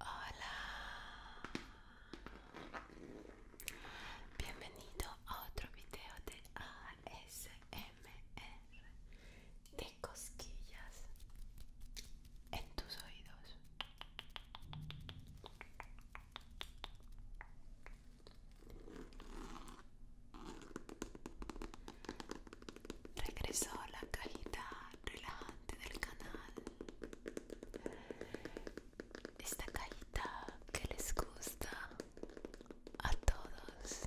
Hola, bienvenido a otro video de ASMR de cosquillas en tus oídos. Regresó la cajita relajante del canal esta caída que les gusta a todos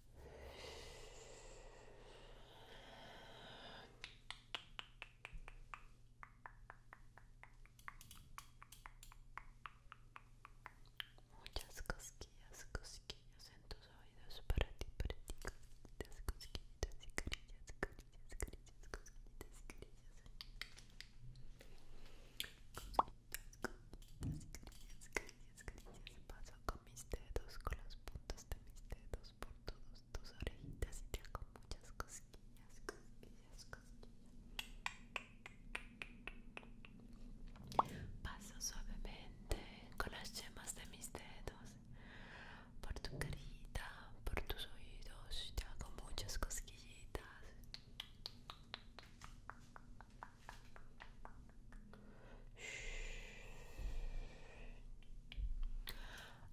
Muchas cosquillas, cosquillas en tus oídos para ti, para ti, cosquillas cosquillitas y cosquillas Paso con mis dedos, con las puntas de mis dedos por todas tus orejitas y te hago muchas cosquillas, cosquillas, cosquillas. Paso suavemente con las yemas de mis dedos por tu carita, por tus oídos. Te hago muchas cosquillitas.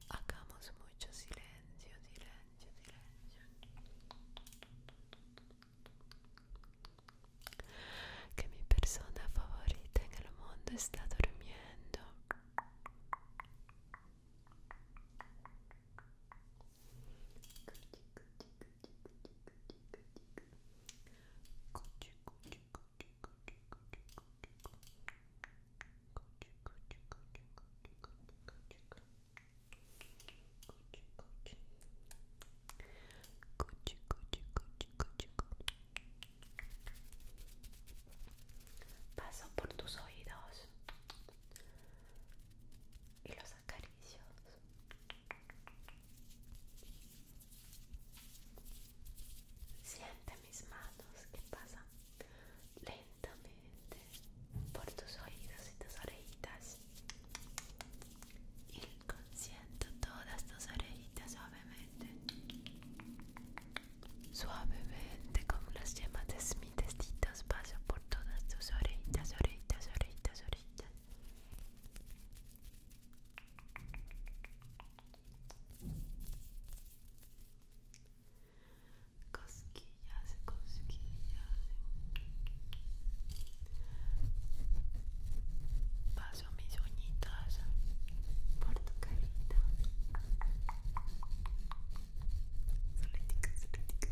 Hagamos mucho silencio, silencio, silencio. Que mi persona favorita en el mundo está durmiendo. Cuchi, cuchi, Paso por tus oídos y los acaricios. Siente mis manos que pasan lentamente por tus oídos y tus orejitas. Y todas tus orejitas suavemente. Suavemente como las llamas de mis testito paso por todas tus orejitas, orejitas, orejitas, orejitas. Cosquillas, cosquillas. Paso mis uñitas por tu carita. solitica, solitica,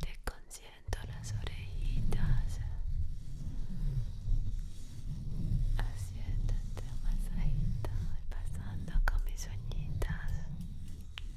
Te consiento las orejitas, haciéndote masajito y pasando con mis uñitas.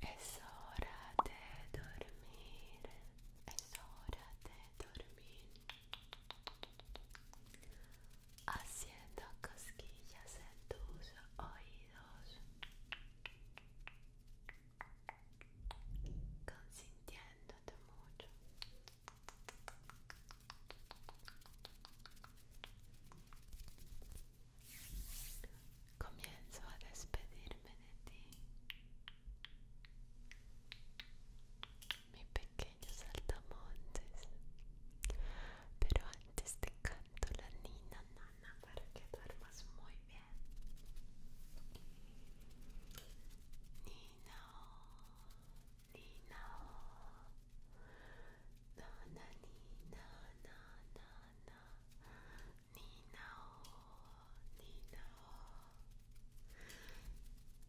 Es é hora de dormir, es é hora de dormir. haciendo cosquillas en tus oídos, consintiéndote mucho. Comienzo a despedirme de ti mi pequeño saltamontes. Pero antes te canto la nina nana para que duermas muy bien. Nina, oh, nina, oh. nana, nina, nana, nana, nina, oh, nina.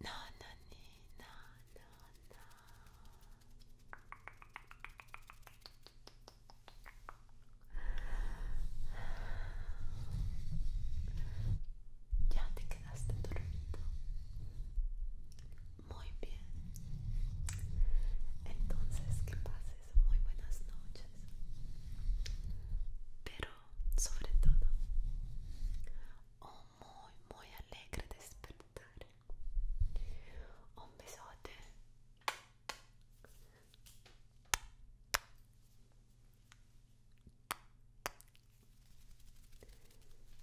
No, no, ni, no, no, no. Ya te quedaste dormido. Muy bien. Entonces que pases muy buenas noches. Pero sobre todo, o muy muy alegre de despertar un besote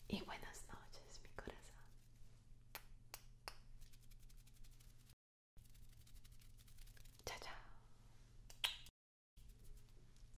y buenas noches mi corazón chao chao